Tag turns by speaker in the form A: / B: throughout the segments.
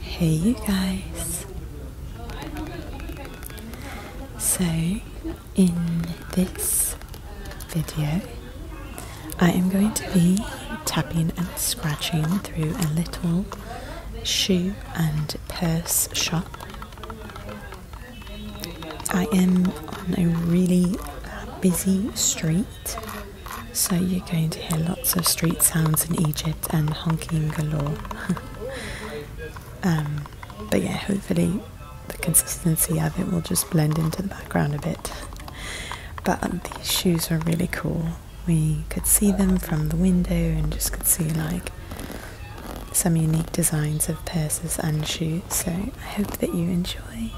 A: Hey, you guys. So, in this video, I am going to be tapping and scratching through a little shoe and purse shop. I am on a really busy street so you're going to hear lots of street sounds in Egypt and honking galore. Um, but yeah, hopefully the consistency of it will just blend into the background a bit. But um, these shoes are really cool. We could see them from the window and just could see like some unique designs of purses and shoes. So I hope that you enjoy.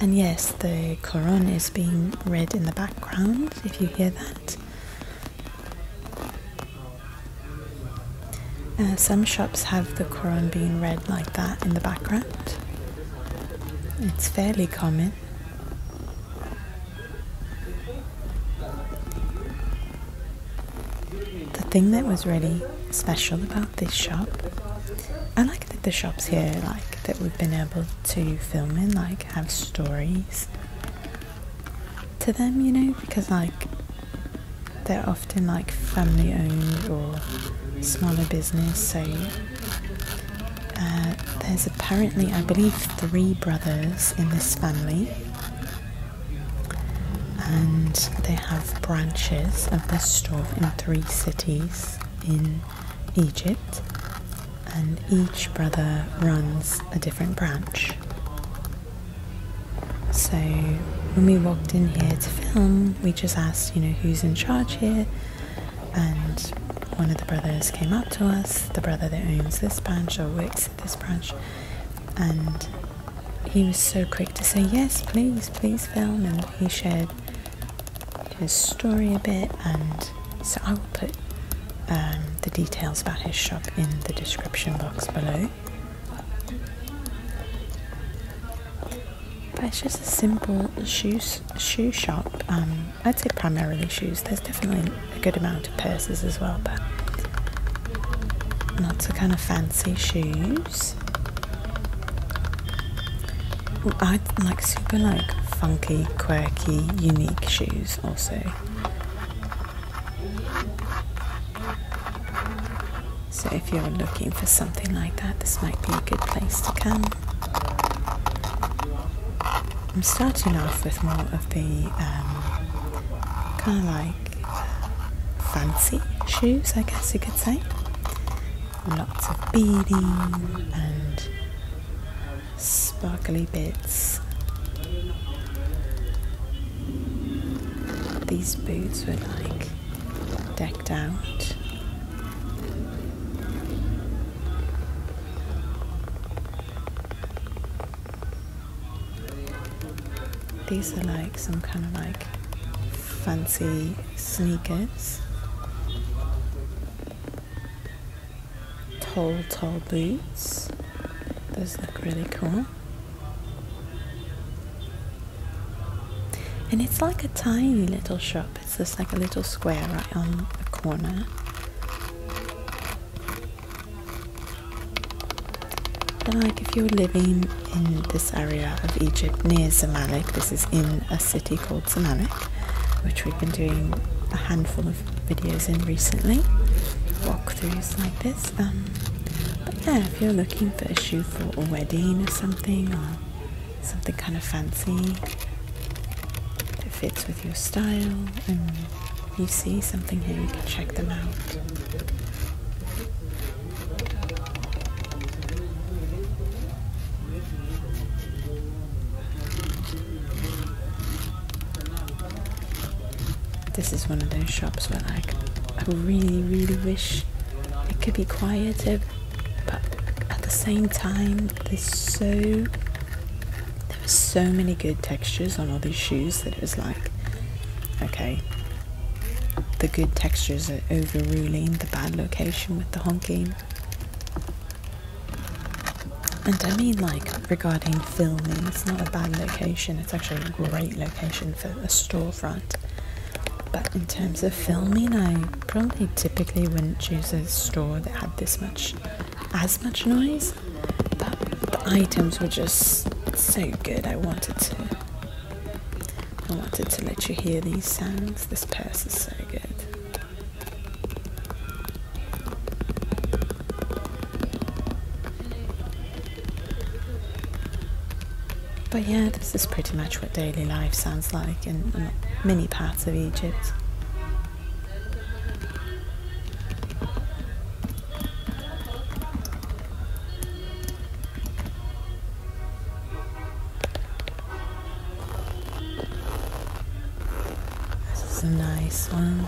A: And yes, the Quran is being read in the background, if you hear that. Uh, some shops have the Quran being read like that in the background. It's fairly common. The thing that was really special about this shop I like that the shops here, like that we've been able to film in, like have stories to them, you know, because like they're often like family owned or smaller business. So uh, there's apparently, I believe, three brothers in this family, and they have branches of this store in three cities in Egypt, and each brother runs a different branch. So when we walked in here to film, we just asked, you know, who's in charge here, and one of the brothers came up to us, the brother that owns this branch or works at this branch, and he was so quick to say, Yes, please, please film. And he shared his story a bit. And so I will put um, the details about his shop in the description box below. But it's just a simple shoes shoe shop. Um, I'd say primarily shoes. There's definitely a good amount of purses as well, but lots of kind of fancy shoes. I like super like funky, quirky, unique shoes also. So if you're looking for something like that, this might be a good place to come. I'm starting off with more of the um, kind of like fancy shoes, I guess you could say. Lots of beading and sparkly bits. These boots were like decked out. These are like some kind of like fancy sneakers, tall, tall boots. Those look really cool. And it's like a tiny little shop. It's just like a little square right on the corner. like if you're living in this area of Egypt near Zamalek. This is in a city called Zamalek, which we've been doing a handful of videos in recently, walkthroughs like this. Um, but yeah, if you're looking for a shoe for a wedding or something, or something kind of fancy that fits with your style, and you see something here, you can check them out. This is one of those shops where like I really really wish it could be quieter but at the same time there's so there were so many good textures on all these shoes that it was like okay the good textures are overruling the bad location with the honking. And I mean, like, regarding filming, it's not a bad location, it's actually a great location for a storefront. But in terms of filming, I probably typically wouldn't choose a store that had this much, as much noise. But the items were just so good, I wanted to. I wanted to let you hear these sounds. This purse is so good. But yeah, this is pretty much what daily life sounds like in, many parts of Egypt. This is a nice one.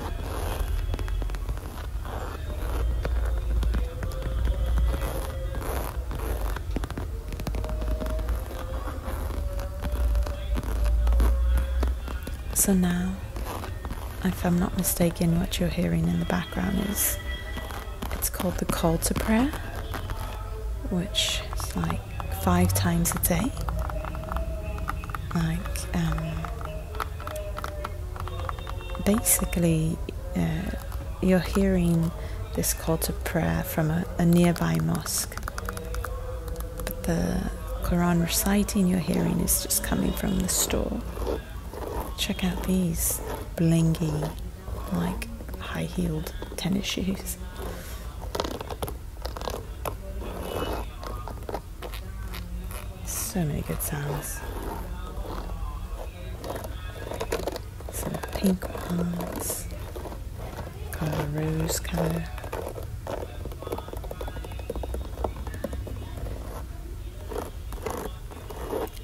A: So now, if I'm not mistaken, what you're hearing in the background is it's called the call to prayer, which is like five times a day. Like, um, basically, uh, you're hearing this call to prayer from a nearby mosque. But the Quran reciting you're hearing is just coming from the store. Check out these blingy like high heeled tennis shoes. So many good sounds. Some pink ones, kind of a rose colour.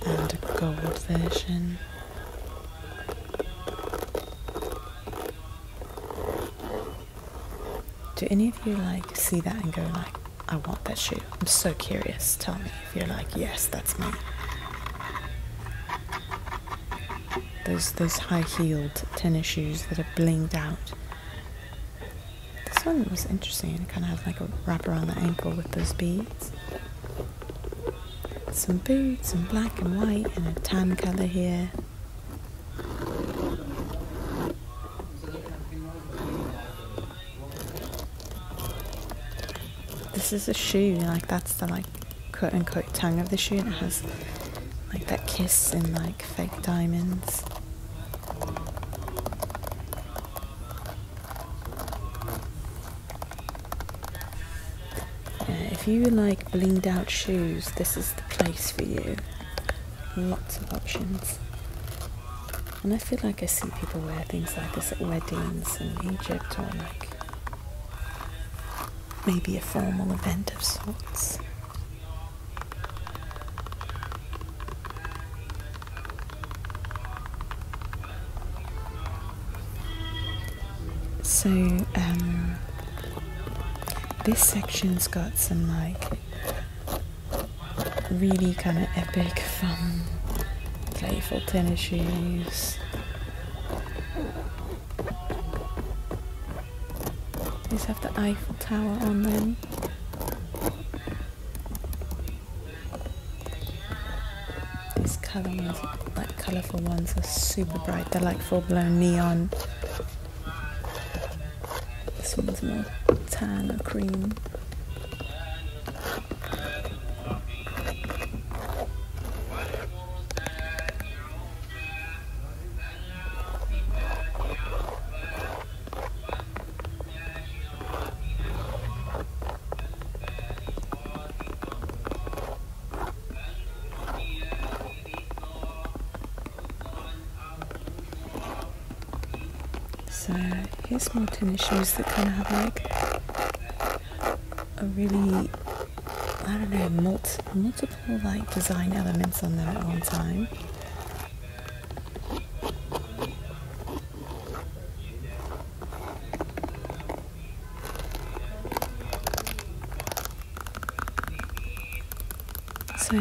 A: And a gold version. Do any of you like see that and go like, I want that shoe? I'm so curious. Tell me if you're like, yes, that's me. Those those high-heeled tennis shoes that are blinged out. This one was interesting. It kind of has like a wrap around the ankle with those beads. Some boots and black and white and a tan colour here. This is a shoe, like that's the like cut and cut tongue of the shoe and it has like that kiss and like fake diamonds. Uh, if you like blinged out shoes, this is the place for you. Lots of options. And I feel like I see people wear things like this at weddings in Egypt or like maybe a formal event of sorts. So um, this section's got some like really kind of epic, fun, playful tennis shoes. These have the Eiffel Tower on them. These color ones, like colorful ones, are super bright. They're like full blown neon. This one's more tan or cream. So here's more tennis shoes that kind of have like a really, I don't know, multiple like design elements on them at one time. So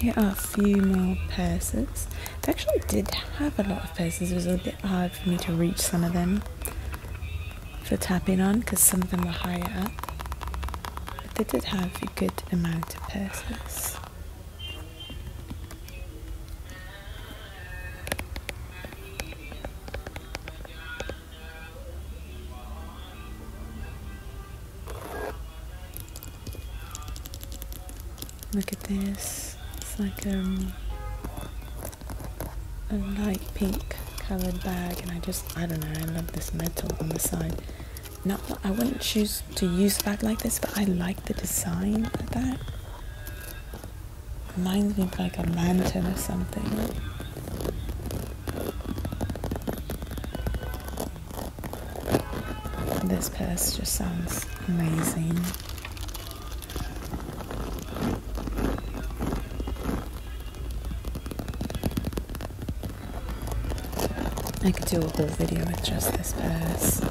A: here are a few more purses. They actually did have a lot of purses. It was a bit hard for me to reach some of them for tapping on because some of them were higher up. But they did have a good amount of purses. Look at this. It's like um, a light pink coloured bag and I just, I don't know, I love this metal on the side. Not, I wouldn't choose to use a bag like this, but I like the design of that. Reminds me of like a lantern or something. This purse just sounds amazing. I could do a whole video with just this purse.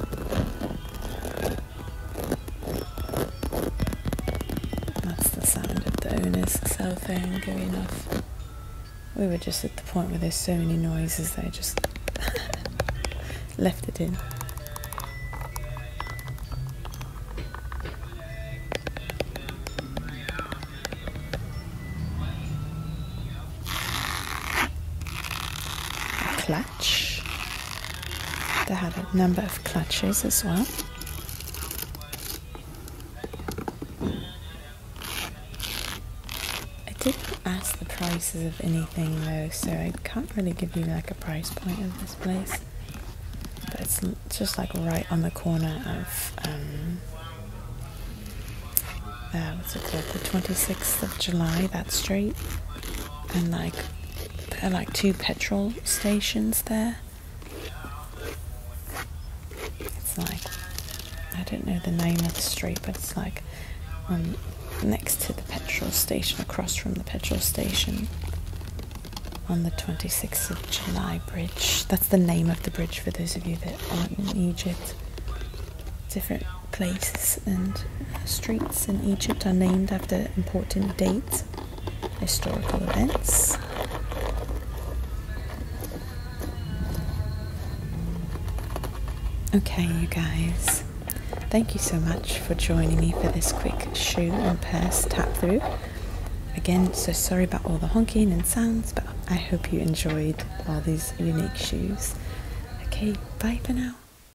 A: That's the sound of the owner's cell phone going off. We were just at the point where there's so many noises they just left it in. They had a number of clutches as well. I didn't ask the prices of anything though, so I can't really give you like a price point of this place. But it's just like right on the corner of um, uh, what's it called? The 26th of July, that street, and like there are like two petrol stations there. It's like, I don't know the name of the street, but it's like um, next to the petrol station, across from the petrol station on the 26th of July bridge. That's the name of the bridge for those of you that aren't in Egypt. Different places and uh, streets in Egypt are named after important dates, historical events. Okay, you guys, thank you so much for joining me for this quick shoe and purse tap through. Again, so sorry about all the honking and sounds, but I hope you enjoyed all these unique shoes. Okay, bye for now.